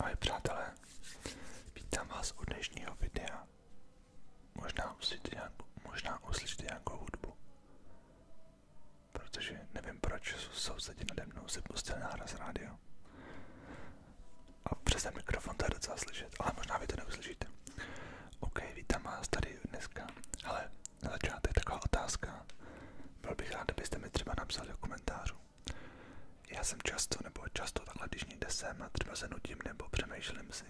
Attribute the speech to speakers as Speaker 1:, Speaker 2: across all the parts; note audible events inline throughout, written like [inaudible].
Speaker 1: Ahoj přátelé, vítám vás u dnešního videa. Možná uslyšíte, nějakou, možná uslyšíte nějakou hudbu. Protože nevím proč sousedi nade mnou si pustil náraz rádio. A přes ten mikrofon to je docela slyšet, ale možná vy to neuslyšíte. OK, vítám vás tady dneska. Ale na začátek taková otázka. Byl bych rád, abyste mi třeba napsali do Já jsem často, nebo často takhle, když někde jsem třeba se nudím nebo přemýšlím si,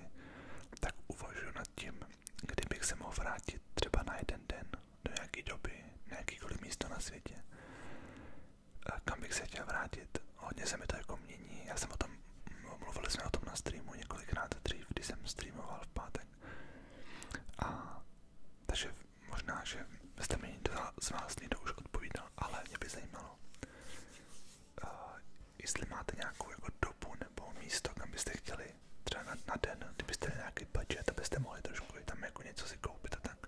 Speaker 1: tak uvažuji nad tím, kdybych se mohl vrátit třeba na jeden den do nějaké doby, na jakýkoliv na světě. Kam bych se chtěl vrátit? Hodně se mi to jako mění. Já jsem o tom No, mluvili jsme o tom na streamu několikrát dřív, když jsem streamoval v pátek. A takže možná, že jste mi někdo z vás někdo už odpovídal, ale mě by zajímalo, uh, jestli máte nějakou jako dobu nebo místo, kam byste chtěli třeba na, na den, kdybyste měli nějaký budget, abyste mohli trošku tam jako něco si koupit a tak.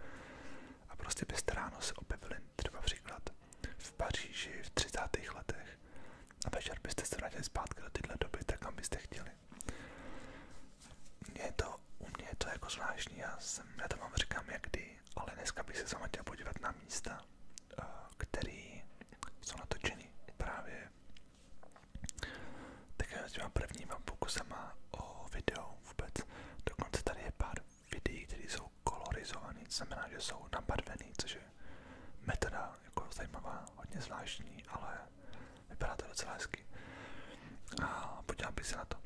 Speaker 1: A prostě byste ráno se objevili třeba příklad v Paříži v 30. letech a večer byste se vrátili zpátky do téhle doby, tak byste chtěli. Mě u mě je to jako já, to vám říkám jakdy, ale dneska se sama chtěl na místa, eh, který jsou natočeny právě také s těma prvníma pokusama o video vůbec. Dokonce tady je pár videí, které jsou kolorizované, znamená, že jsou nabarvené, což je metoda jako zajímavá, hodně zvláštní, ale vypadá to docela hezky. A podívám bych se na to.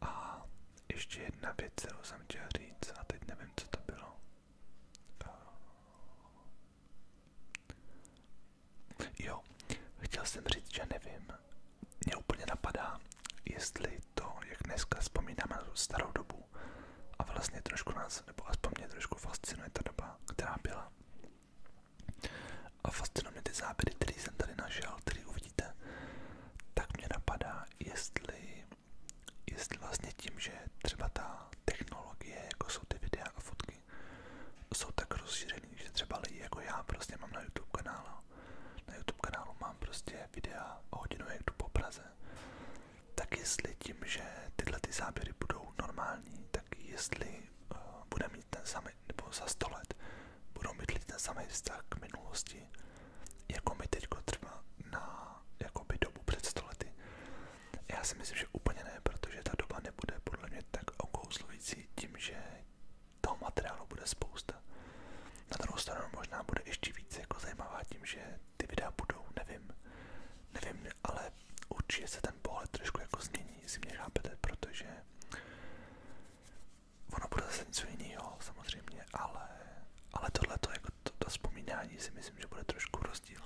Speaker 1: A ještě jedna věc, kterou jsem chtěl říct, a teď nevím, co to bylo. Eh, jo, chtěl jsem říct, že nevím. Mě úplně napadá, jestli to, jak dneska vzpomínáme na tu starou dobu, a vlastně trošku nás, nebo aspoň mě trošku fascinuje ta doba, která byla. A fascinují mě ty záběry, které jsem tady našel, které uvidíte. Tak mě napadá, jestli, jestli vlastně tím, že třeba ta technologie, jako jsou ty videa a fotky, jsou tak rozšířený, že třeba lidi jako já prostě mám na YouTube kanálu. Na YouTube kanálu mám prostě videa o hodinu jak jdu po Praze tak jestli tím, že tyhle ty záběry budou normální, tak jestli uh, bude mít ten samý, nebo za 100 let budou mít ten samý vztah k minulosti, jako my teďko třeba na jakoby dobu před 100 Já si myslím, že úplně ne, protože ta doba nebude podle mě tak okouzlující tím, že toho materiálu bude spousta. Na druhou stranu možná bude ještě více jako zajímavá tím, že ty videa budou, nevím. Nevím, ale určitě se ten pohled trošku jako změní, jestli mě chápete, protože ono bude zase něco jiného samozřejmě, ale, ale tohle jako to, to vzpomínání si myslím, že bude trošku rozdíl,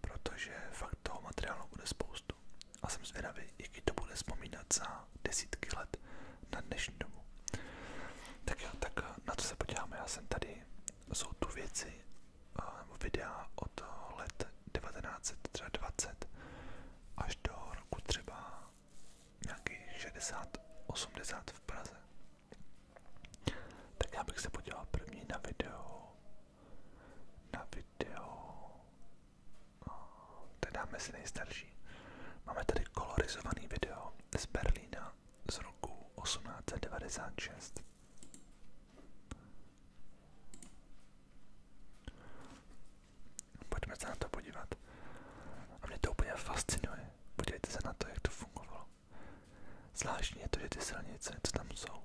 Speaker 1: protože fakt toho materiálu bude spoustu a jsem zvědavý, jaký to bude vzpomínat za desítky let na dnešní dobu. Tak jo, tak na to se podíváme, já jsem tady jsou tu věci nebo eh, videa od let 1920 až do roku třeba nějaký 60-80 v Praze. Tak já bych se podíval první na video, na video, no, teda si nejstarší. Máme tady kolorizovaný video z Berlína z roku 1896. Pojďme se na podívat. A mě to úplně fascinuje. Podívejte se na jak to fungovalo. Zvláštní je to, že ty silnice, co tam jsou,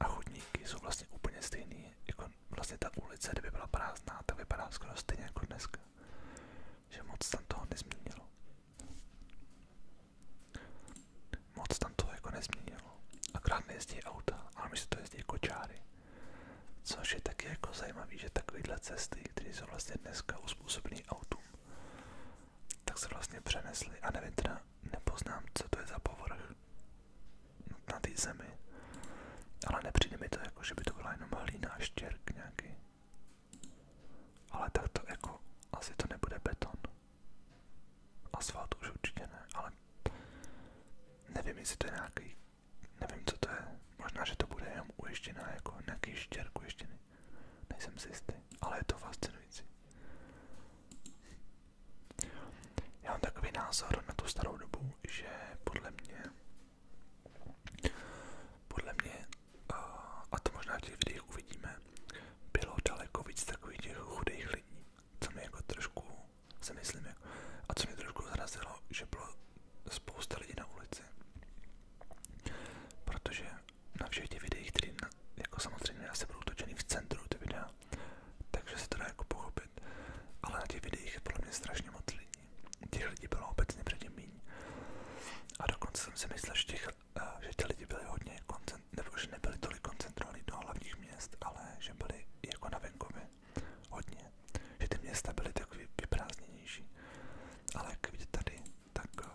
Speaker 1: a chodníky jsou vlastně úplně stejný, jako vlastně ta ulice, kdyby byla prázdná, tak vypadá skoro stejně jako dneska. Že tam toho nezměnilo. Moc tam to jako nezměnilo. Akorát nejezdí auta, ale my si to jezdí kočáry. Jako Což je taky jako zajímavý, že takovéhle cesty, které jsou vlastně dneska uspůsobené autům, tak se vlastně přenesly a nevím teda, nepoznám, co to je za povrch na té zemi, ale nepřijde mi to jako, že by to byla jenom hlína a štěrk nějaký. Ale tak to jako, asi to nebude beton. Asfalt už určitě ne, ale nevím, jestli to je nějaký, nevím, co to je. Možná, že to bude jenom uještěná, jako nějaký štěr uještěný. Nejsem si jistý, ale je to fascinující. Já mám takový názor na tu starou dobu, že podle mě podle mě a to možná v těch videích uvidíme, bylo daleko víc takových těch chudých lidí, co mi jako trošku, si myslím, a co mě trošku zrazilo, že bylo spousta lidí na ulici, protože na všech těch které jako samozřejmě asi budou v centru ty videa, takže se to dá jako pochopit, ale na těch videích je mě strašně moc Těch lidí bylo obecně předtím méně. A dokonce jsem si že těch Eh, že ty lidi byli hodně koncentrovaní, nebo že nebyli tolik koncentrovaní do hlavních měst, ale že byli jako na venkově hodně, že ty města byly takový vyprázdněnější. Ale jak vidíte tady, tak eh,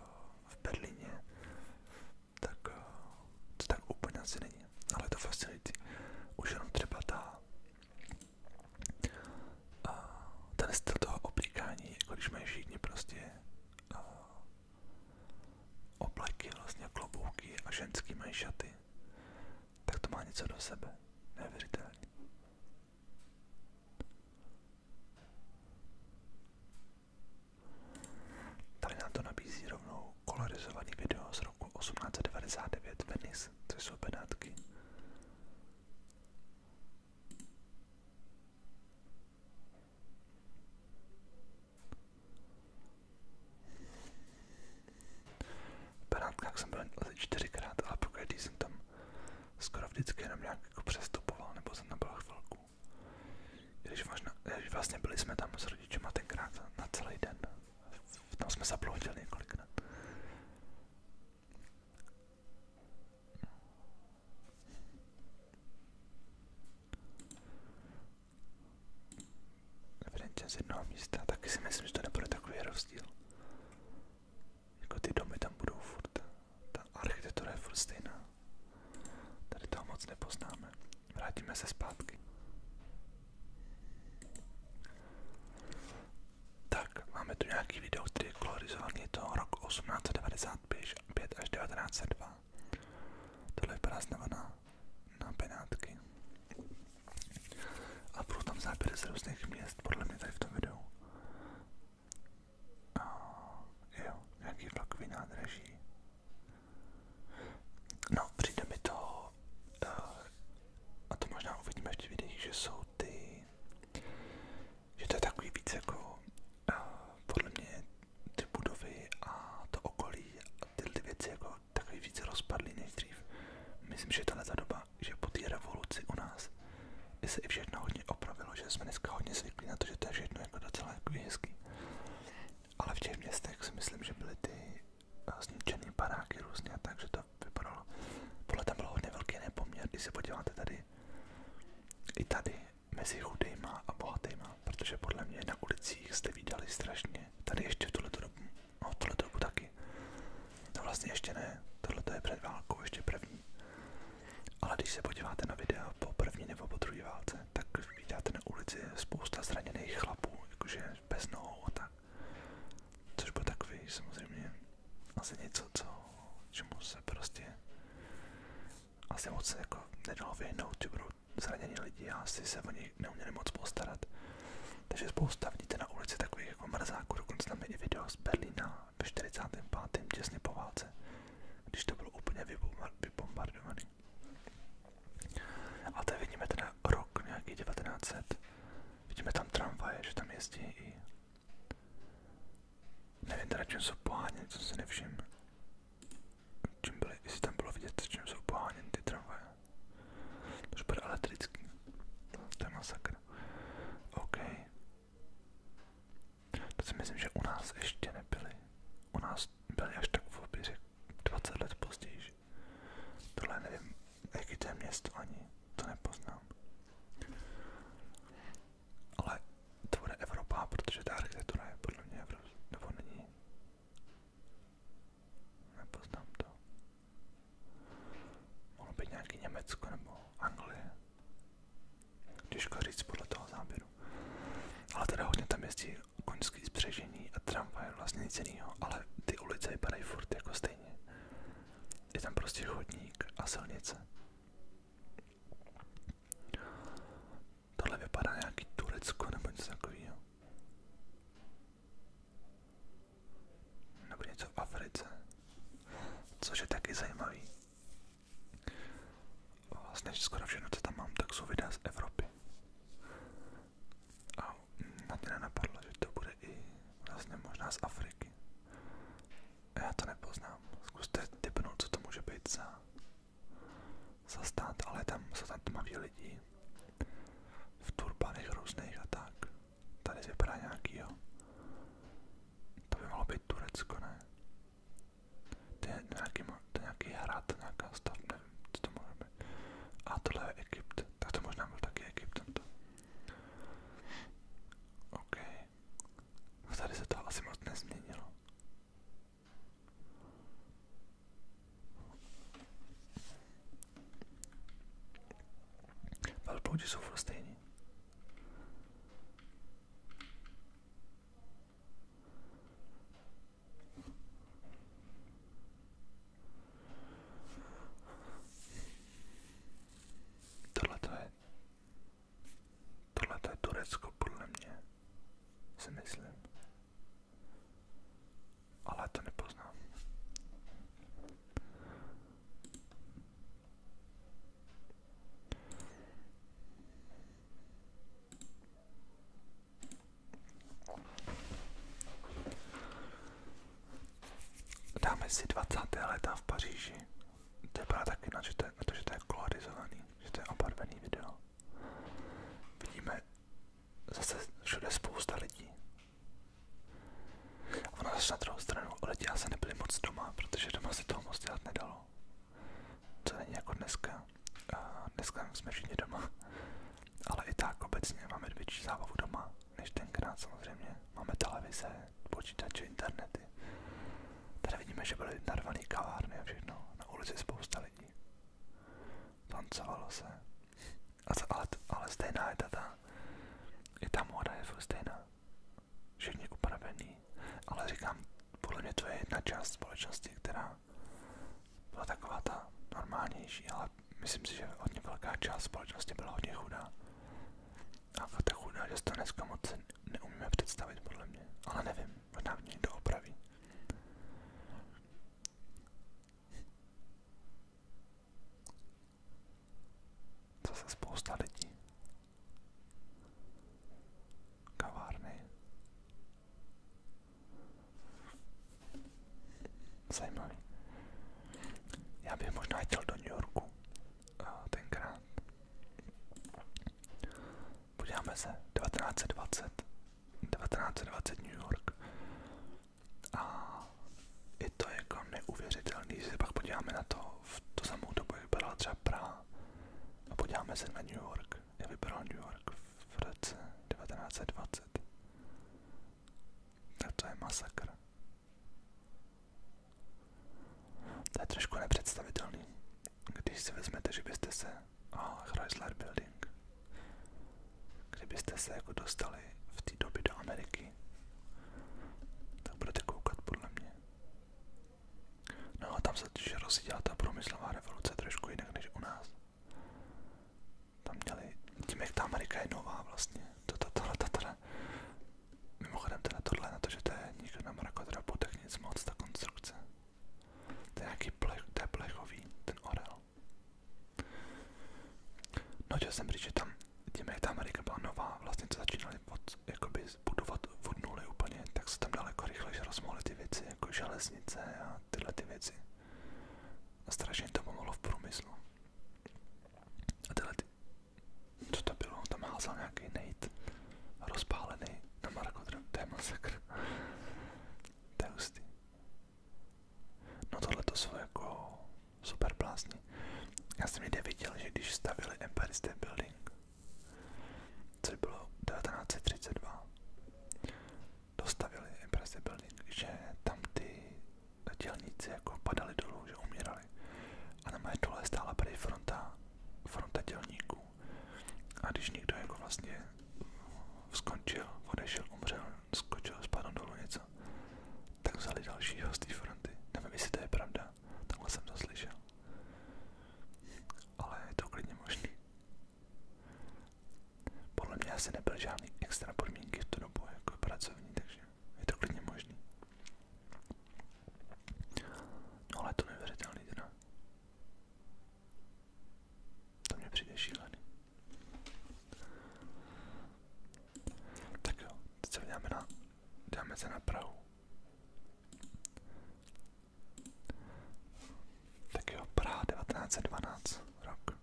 Speaker 1: v Berlíně, tak eh, to tak úplně asi není, ale je to fascinující. Už jenom třeba ta, ten styl toho oblíkání, jako když mají všichni prostě obleky, vlastně klobouky a ženský mají šaty, tak to má něco do sebe. Neuvěřitelný. Tady nám to nabízí rovnou kolorizovaný video z roku 1899 Venice, což jsou Benátky. V Benátkách jsem byl asi čtyřikrát, ale pokud jsem tam skoro vždycky jenom nějak jako přestupoval, nebo jsem tam byl chvilku. Když vlastně, vlastně byli jsme tam s rodičema tenkrát na celý den. Tam jsme zaploudili několikrát. Franchise z jednoho místa, taky si myslím, že to nebude takový rozdíl. Jako ty domy tam budou furt, ta architektura je furt stejná. Tady toho moc nepoznáme. Vrátíme se zpátky. Tak, máme tu nějaký video, který je kolorizovaný, je to rok 1890 1955 až 1902. Tohle vypadá znamená na penátky. A budou tam záběry z různých měst, podle mě tady v tom videu. A jo, nějaký vlakový nádraží. No, přijde mi to, eh, a to možná uvidíme v těch že jsou ty, že to je takový víc jako podle mě ty budovy a to okolí a tyhle věci jako takový více rozpadly než dřív. Myslím, že tahle ta doba, že po té revoluci u nás se i všechno hodně opravilo, že jsme dneska hodně zvyklí na to, že to je všechno jako docela jako hezký. Ale v těch městech si myslím, že byly ty eh, zničené paráky různě, takže to vypadalo. Podle tam bylo hodně velký nepoměr, když se podíváte tady, i tady mezi chudejma a bohatýma, protože podle mě na ulicích jste vydali strašně. Tady ještě v tuhleto dobu, no v dobu taky. No vlastně ještě ne, tohle je před válkou, ještě první. Ale když se podíváte na videa po první nebo po druhé válce, tak vidíte na ulici spousta zraněných chlapů, jakože bez nohou a tak. Což byl takový samozřejmě asi něco, co, čemu se prostě asi moc jako nedalo vyhnout, že budou zranění lidi a asi se o nich neuměli moc postarat. Takže spousta vidíte na ulici takových jako mrzáků, dokonce tam je i video z Berlína ve 45. těsně po válce, když to bylo úplně vybombardovaný. A tady vidíme teda rok nějaký 1900, vidíme tam tramvaje, že tam jezdí i Nevím teda, čím jsou poháněny, co si nevšim. Čím byly, jestli tam bylo vidět, čím jsou poháněny ty tramvaje. To bude elektrický. To je masakr. OK. To si myslím, že u nás ještě nebyly. U nás byly až tak v oběře 20 let později. Tohle nevím, jaký to je město ani, to nepoznám ale to bude Evropa, protože ta architektura je podle mě Evropa, nebo není. Nepoznám to. Mohlo být nějaký Německo nebo Anglie. Těžko říct podle toho záběru. Ale teda hodně tam jezdí koňský spřežení a tramvaj vlastně nic jiného, ale ty ulice vypadají furt jako stejně. Je tam prostě chodník a silnice. Tohle vypadá nějaký Turecko nebo něco takového. Nebo něco v Africe. Což je taky zajímavý. Vlastně skoro všechno, co tam mám, tak jsou videa z Evropy. A na to nenapadlo, že to bude i vlastně možná z Afriky. Já to nepoznám. Zkuste typnout, co to může být za, za stát, ale tam jsou tam tmaví lidi. V turbanech různých a tak. Tady vypadá nějaký, jo. To by mohlo být Turecko, ne? To je nějaký, to je nějaký hrad, nějaká stav, nevím, co to může být. A tohle je Egypt, tak to možná byl taky Egypt tento. OK, No tady se to asi moc nezměnilo. Velbloudi jsou furt stejný. Tohle je Tohle to je Turecko, podle mě. Si myslím. Ale to nepoznám. Dáme si 20. leta v Paříži. To vypadá taky na, to, je, to, je kolorizovaný, že je obarvený video. Vidíme zase všude spousta lidí. A na druhou stranu, lidi asi nebyli moc doma, protože doma se toho moc dělat nedalo. To není jako dneska. dneska jsme všichni doma. Ale i tak obecně máme větší zábavu doma, než tenkrát samozřejmě. Máme televize, počítače, internety. Tady vidíme, že byly narvaný kavárny a všechno. Na ulici spousta lidí. Tancovalo se. ale, ale stejná je ta, ta i ta móda je furt stejná. Všichni upravený. Ale říkám, podle mě to je jedna část společnosti, která byla taková ta normálnější, ale myslím si, že hodně velká část společnosti byla hodně chudá. A ta chudá, že se to dneska moc neumíme představit, podle mě. Ale nevím, možná mě někdo opraví. Zase spousta lidí. Kavárny. Zajímavý. Já bych možná chtěl do New Yorku eh, tenkrát, Podíváme se, 1920, 1920 New York a i to je jako neuvěřitelný, když se pak podíváme na to, v tu samou dobu je vypadala třeba Praha a podíváme se na New York, jak vypadal New York v roce 1920, tak to je masakr. To je trošku nepředstavitelný, když si vezmete, že byste se, a Chrysler Building, kdybyste se jako dostali v té době do Ameriky, tak budete koukat podle mě. No a tam se totiž rozjídila ta průmyslová revoluce trošku jinak než u nás. Tam měli, tím jak ta Amerika je nová vlastně, to, to, to, to, to, to, Mimochodem teda tohle na to, že to je někdo na mrakodrapu, tak nic moc ta konstrukce. To je nějaký plech, to je plechový, ten orel. No chtěl jsem říct, že tam, tím jak ta Amerika byla nová, vlastně co začínali od, jakoby budovat od nuly úplně, tak se tam daleko rychleji rozmohly ty věci, jako železnice a tyhle ty věci. A strašně to pomohlo v průmyslu. A tyhle ty, co to bylo? Tam házal nějaký nejt rozpálený na Marko To je masakr. To je hustý. No tohle to jsou jako super plásny. Já jsem někde viděl, že když stavili Empire State Building, což bylo 1932, dostavili Empire State Building, že tam ty dělníci jako padali dolů, že umírali postavili. A na mé dole stála tady fronta, fronta dělníků. A když někdo jako vlastně skončil, odešel, umřel, skočil, spadl dolů něco, tak vzali další z té fronty. Nevím, jestli to je pravda, takhle jsem to slyšel. Ale je to klidně možný. Podle mě asi nebyly žádné extra podmínky v tu dobu jako pracovní, takže je to klidně možný. No ale to neuvěřitelný teda. To mě přijde šílený. Tak jo, teď se vydáme na, dáme se na Prahu. Tak jo, Praha 1912 rok.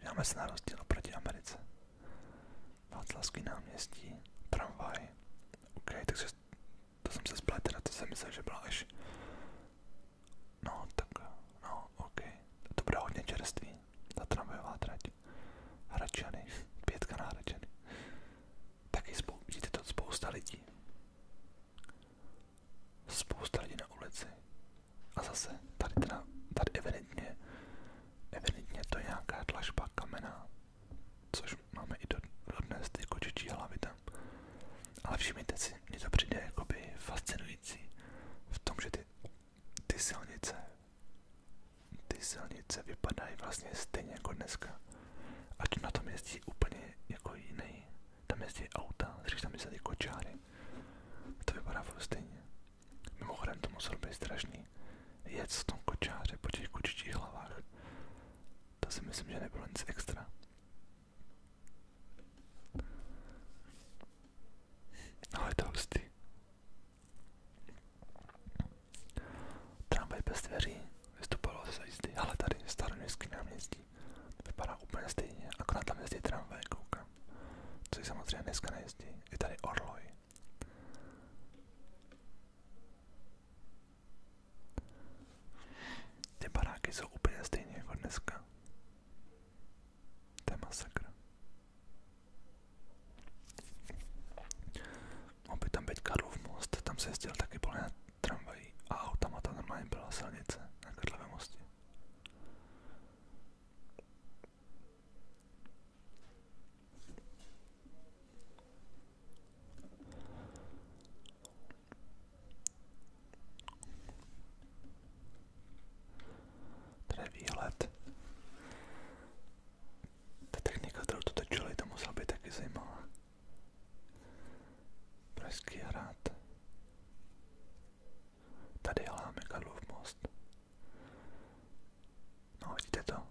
Speaker 1: Vydáme se na rozdíl oproti Americe. Václavský náměstí, tramvaj. OK, takže to jsem se splet, teda to jsem myslel, že byla až... No, tak, no, OK. To bude hodně čerství, ta tramvajová trať. Hračany, [laughs] pětka na Hračany. Taky spou- vidíte to spousta lidí. Spousta lidí na ulici. A zase, tady teda, tady evidentně, evidentně to je nějaká tlažba kamena, Což máme i do, dodnes ty kočičí jako hlavy tam. Ale všimněte si, mně to přijde jakoby fascinující v tom, že ty, ty silnice ty silnice vypadají vlastně stejně jako dneska. Ať na tom jezdí úplně jako jiný. Tam jezdí auta, když tam jezdí kočáry. To vypadá furt stejně. Mimochodem to muselo být strašný schopný jet v tom kočáře po těch kočičích hlavách. To si myslím, že nebylo nic extra. No je to hustý. Tramvaj bez dveří vystupovalo ze jízdy, ale tady staroměstský náměstí vypadá úplně stejně, akorát tam jezdí tramvaj, koukám. Což samozřejmě dneska nejezdí, je tady orloj. Ty baráky jsou úplně stejně jako dneska. To je masakr. Mohl by tam být Karlov most, tam se jezdil taky plné tramvají a autama tam normálně byla silnice na Karlově mostě. Tady výhled. Ta technika, kterou to točili, to musela být taky zajímavá. Pražský hrad. Tady hláme Karlov most. No vidíte to,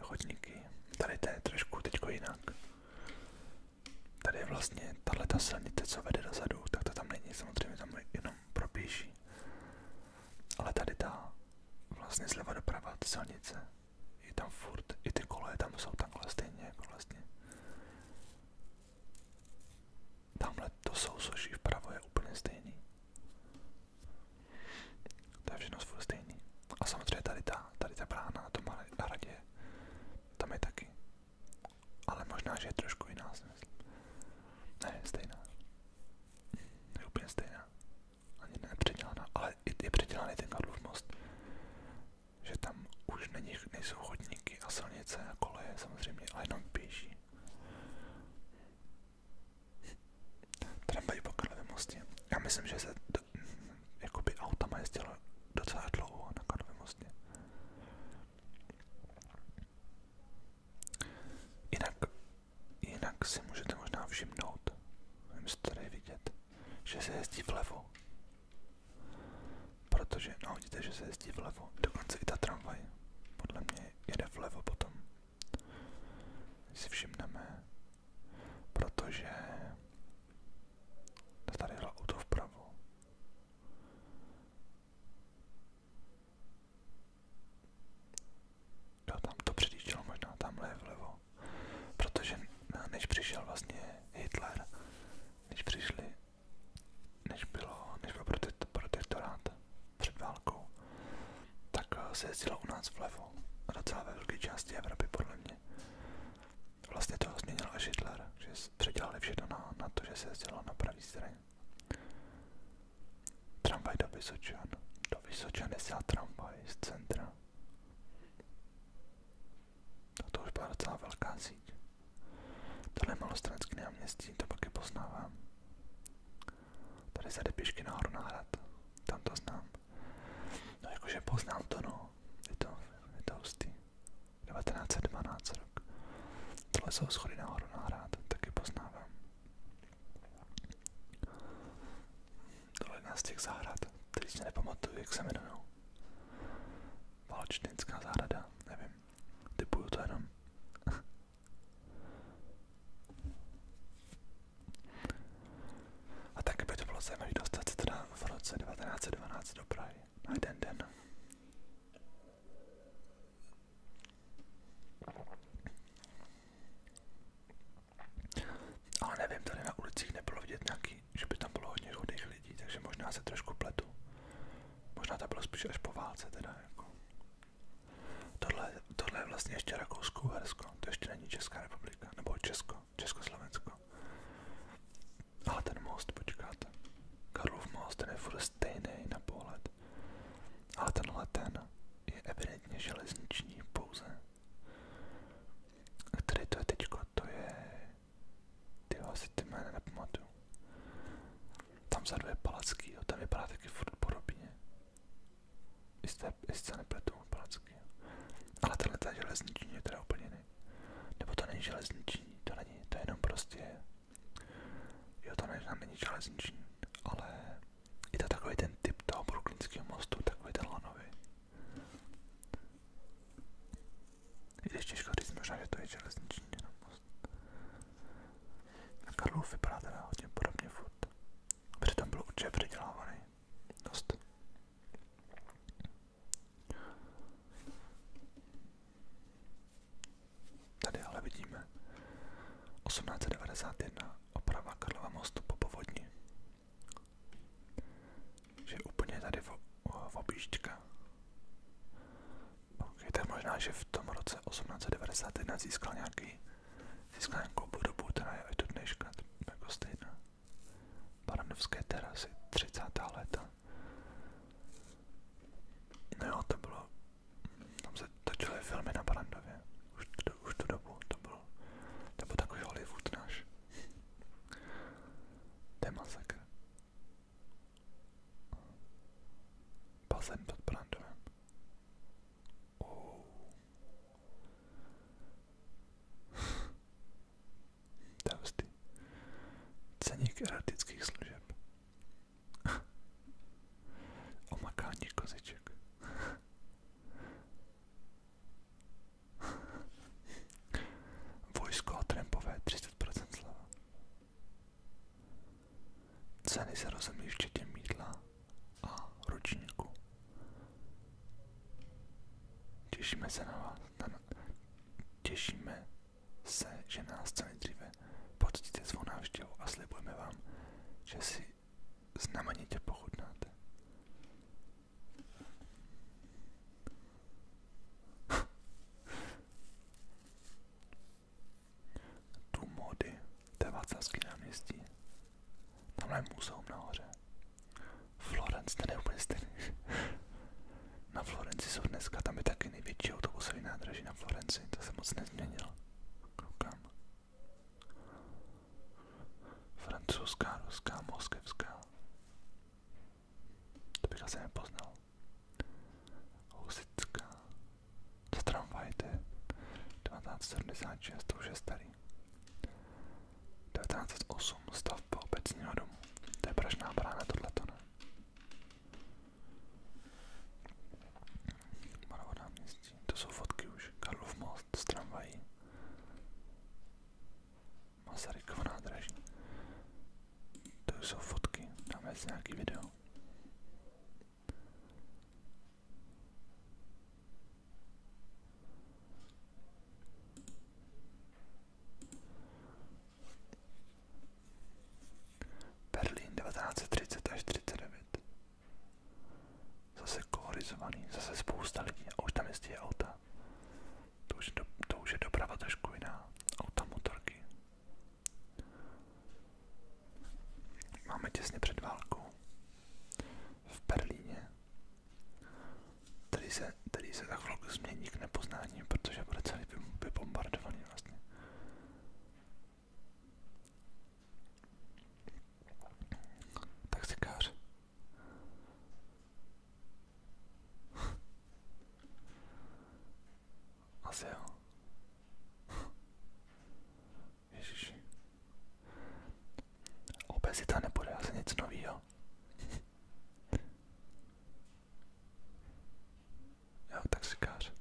Speaker 1: chodníky, tady to je trošku teďko jinak. Tady je vlastně tato silnice, co vede dozadu, tak to tam není, samozřejmě tam jenom propíší. Ale tady ta vlastně zleva doprava ta silnice, je tam furt, i ty koleje tam jsou takhle stejně jako vlastně. Tamhle to sousoší vpravo je úplně stejný. To je všechno furt stejný. A samozřejmě tady ta, tady ta brána na tom hradě, tam je taky. Ale možná, že je trošku jiná, si myslím. Ne, stejná. Je úplně stejná. Ani nepředělaná, ale je předělaný ten Karlův most. Že tam už není, nejsou chodníky a silnice a koleje samozřejmě, ale jenom pěší. Tramvaj po Karlově mostě. Já myslím, že se do, jakoby autama jezdilo docela dlouho na Karlově mostě. Jinak, jinak si můžete možná všimnout, nevím, jestli to tady vidět, že se jezdí vlevo. Protože, no vidíte, že se jezdí vlevo, dokonce i ta tramvaj, podle mě jede vlevo potom si všimneme, protože tady jelo auto vpravo. Jo, tam to předjíždělo možná, tamhle je vlevo. Protože než přišel vlastně Hitler, než přišli, než bylo, než byl protektorát před válkou, tak eh, se jezdilo u nás vlevo a docela ve velké části Evropy podle mě. Vlastně to změnil až Hitler, že předělali všechno na, na to, že se jezdilo na pravý straně. Tramvaj do Vysočan. Do Vysočan jezdila tramvaj z centra. A no, to už byla docela velká síť. Tohle je malostranský náměstí, to pak je poznávám. Tady se jde pěšky nahoru na hrad. Tam to znám. No jakože poznám to no. Je to, je to hustý. 1912 rok. Tohle jsou schody nahoru na hrad. Taky poznávám. Tohle je jedna z těch zahrad, který si nepamatuju, jak se jmenují. Valčtinská zahrada, nevím. Typuju to jenom. [laughs] A taky by to bylo zajímavé dostat se teda v roce 1912 do Prahy na jeden den. Ale nevím, tady na ulicích nebylo vidět nějaký, že by tam bylo hodně chudých lidí, takže možná se trošku pletu. Možná to bylo spíš až po válce teda jako. Tohle, tohle je vlastně ještě Rakousko-Uhersko, to ještě není Česká republika, nebo Česko, Československo. Ale ten most, počkáte. Karlov most, ten je furt stejný na pohled. Ale tenhle ten je evidentně železniční pouze. Který to je teďko, to je... Ty asi ty jména nepamatuju. Tam vzadu je Palacký, jo, ten vypadá taky furt podobně. Jste, jestli se nepletu palacky. Ale tenhle ten železný číň je teda úplně jiný. Nebo to není železný číň, to není, to je jenom prostě... Jo, to není, není železný číň, ale je to takový ten typ toho brooklynského mostu, takový ten lanový. I když těžko říct možná, že to je železný číň, jenom most. A Karlov vypadá teda hodně podobně furt. Protože tam byl určitě předělávaný. Dost. Tady ale vidíme 1891 oprava Karlova mostu po povodni. Že úplně tady v, v tak možná, že v tom roce 1891 získal nějaký získal nějakou budobu, která je až do dneška jako stejná. Barandovské terasy, 30. léta. No jo, to bylo, tam se točily filmy na Barandově, už, to, už tu dobu, to bylo, to byl takový Hollywood náš. To je masakr. Bazén pod Barandovem. Oh. Davsty. Ceník erotických služeb. [laughs] Omakání koziček. Vojsko a trampové 30% slava. Ceny se rozumí včetně mídla a ročníku. Těšíme se na vás. Na, těšíme se, že nás co nejdříve poctíte svou návštěvu a slibujeme vám, že si znamenitě pochutnáte. Dům mody, to je Václavský náměstí. Tamhle je muzeum nahoře. Florence, ten je úplně stejný. [laughs] na Florenci jsou dneska, tam je taky největší autobusový nádraží na Florenci, to se moc nezměnilo. Koukám. Francouzská, ruská, moskevská. To bych asi nepoznal. Husická, za tramvaj to je 1976, to už je starý. 1908 stavba obecního domu. To je Pražná brána, tohleto ne. Malovo náměstí, to jsou fotky už. Karlov most s tramvají. Masarykova nádraží. To jsou fotky, dáme si nějaký video. Berlín 1930 až 39. Zase kolorizovaný, zase spousta lidí. A už tam jezdí auta. To už, do, to už je doprava trošku jiná. Auta, motorky. Máme těsně před válkou v Berlíně. Tady se, tady se za chvilku změní k nepoznání, protože bude celý vybombardovaný vlastně. Tak si Taxikář. [laughs] Asi jo. Ježiši. Obezita nebude asi nic novýho. jo, taxikář.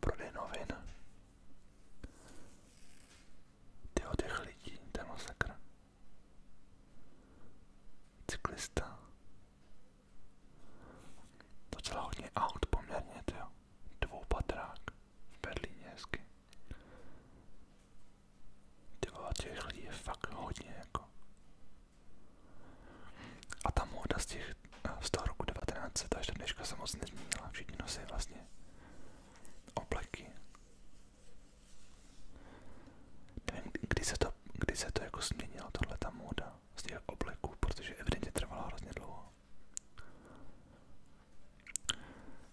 Speaker 1: Prodej novin. Tyho těch lidí, ten masakr. Cyklista. Docela hodně aut poměrně, jo. Dvoupatrák v Berlíně hezky. Tyvo, těch lidí je fakt hodně, jako. A ta móda z těch, eh, z toho roku 1900 až do dneška se moc nezměnila. Všichni nosí vlastně obleky Nevím, kdy se to, kdy se to jako změnilo, tohle ta móda z těch obleků, protože evidentně trvala hrozně dlouho.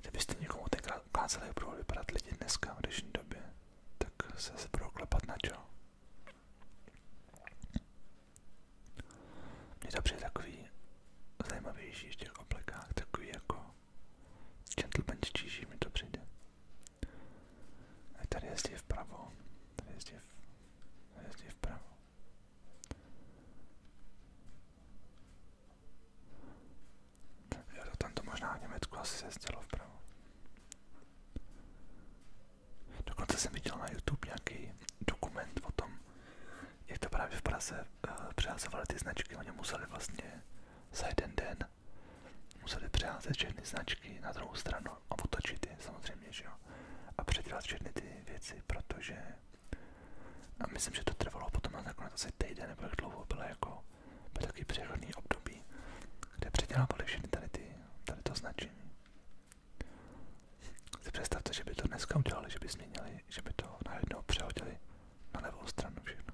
Speaker 1: Kdybyste někomu tenkrát ukázali, jak budou vypadat lidi dneska v dnešní době, tak se se budou klepat na čelo. Mně to přijde takový zajímavější v těch oblekách, takový jako gentlemančtější mi to přijde. A tady jezdí vpravo. Tady jezdí, v, tady to tam možná v Německu asi se jezdilo Dokonce jsem viděl na YouTube nějaký dokument o tom, jak to právě v Praze eh, ty značky. Oni museli vlastně za jeden den Museli přeházet všechny značky na druhou stranu a otočit je samozřejmě, že jo. A předělat všechny ty věci, protože a myslím, že to trvalo potom na nakonec asi týden nebo jak dlouho bylo jako byl takový přechodný období, kde předělávali všechny tady, ty, tady to značení. Si představte, že by to dneska udělali, že by změnili, že by to najednou přehodili na levou stranu všechno.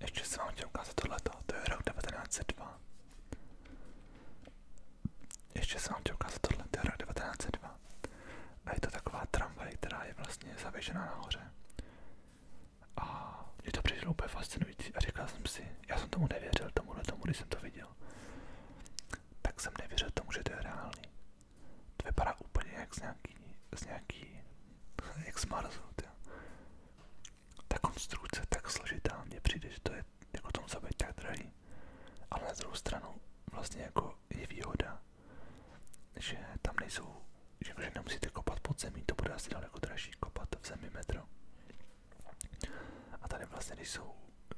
Speaker 1: Ještě se vám chtěl ukázat tohleto, to je rok 1902. Ještě se vám chtěl ukázat tohle, to je rok 1902. A je to taková tramvaj, která je vlastně zavěšená nahoře. A mě to přišlo úplně fascinující a říkal jsem si, já jsem tomu nevěřil, tomuhle tomu, když jsem to viděl tak jsem nevěřil tomu, že to je reálný. To vypadá úplně jak z nějaký, z nějaký, [laughs] jak z Marsu, tě. Ta konstrukce tak složitá, mně přijde, že to je jako tomu zabít tak drahý. Ale na druhou stranu vlastně jako je výhoda, že tam nejsou, že, že nemusíte kopat pod to bude asi daleko dražší kopat v zemi A tady vlastně, když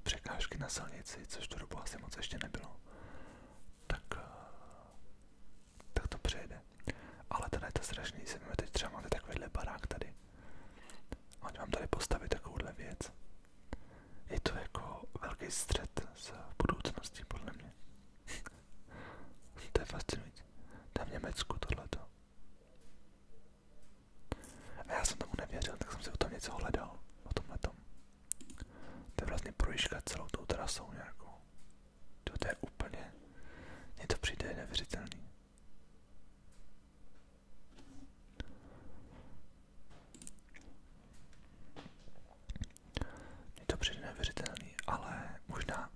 Speaker 1: překážky na silnici, což to dobu asi moc ještě nebylo, tak, eh, tak to přejde. Ale tady je to strašný, se mi teď třeba máte takovýhle barák tady. a Ať vám tady postavit takovouhle věc. Je to jako velký střed s budoucností, podle mě. [laughs] to je fascinující. To je v Německu tohleto. A já jsem tomu nevěřil, tak jsem si o tom něco hledal, o tomhletom. To je vlastně projížka celou tou trasou nějakou. To, je úplně, mně to přijde nevěřitelný. Mně to přijde nevěřitelný, ale možná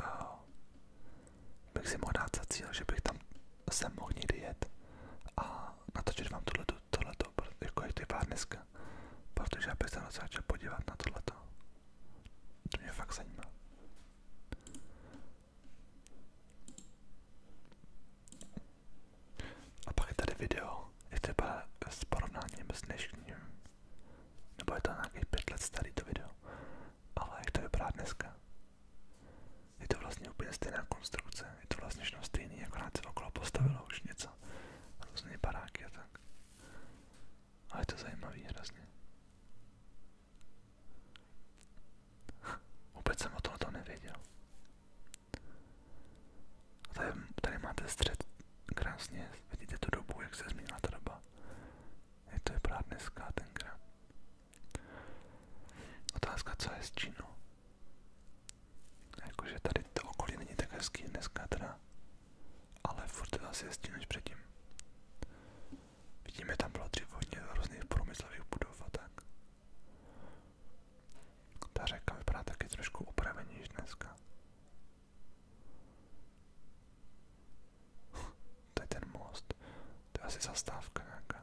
Speaker 1: uh, bych si mohl dát za cíl, že bych tam sem mohl někdy jet a natočit vám tohleto, tohleto to, jako jak to vypadá dneska, protože já bych se docela podívat na tohleto. To mě fakt zajímá. A pak je tady video, je to vypadá s porovnáním s dnešním, nebo je to nějakých pět let starý to video, ale jak to vypadá dneska je to vlastně úplně stejná konstrukce, je to vlastně stejný, akorát se okolo postavilo už něco, různé baráky a tak. Ale to zajímavý hrozně. Vůbec jsem o tom, o tady, tady máte střed krásně, vidíte tu dobu, jak se změnila ta doba. Je to vypadá dneska tenkrát. Otázka, co je s Čínou. Jakože tady to okolí není tak hezký dneska teda, ale furt asi hezčí než předtím. Vidíme, tam bylo dřív hodně různých průmyslových budov a tak. Ta řeka vypadá taky trošku upravenější dneska. to ten most. To je asi zastávka nějaká.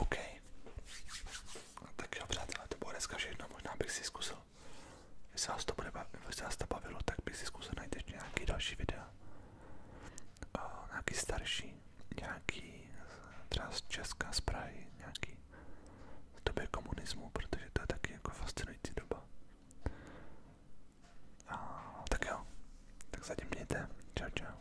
Speaker 1: OK. No, tak jo, přátelé, to bylo dneska všechno. Možná bych si zkusil, jestli vás to, bude bavilo, jestli vás to bavilo, tak bych si zkusil najít ještě nějaký další videa. O, nějaký starší, nějaký třeba z Česka, z Prahy, nějaký z doby komunismu, protože to je taky jako fascinující doba. A, tak jo, tak zatím mějte. Čau, čau.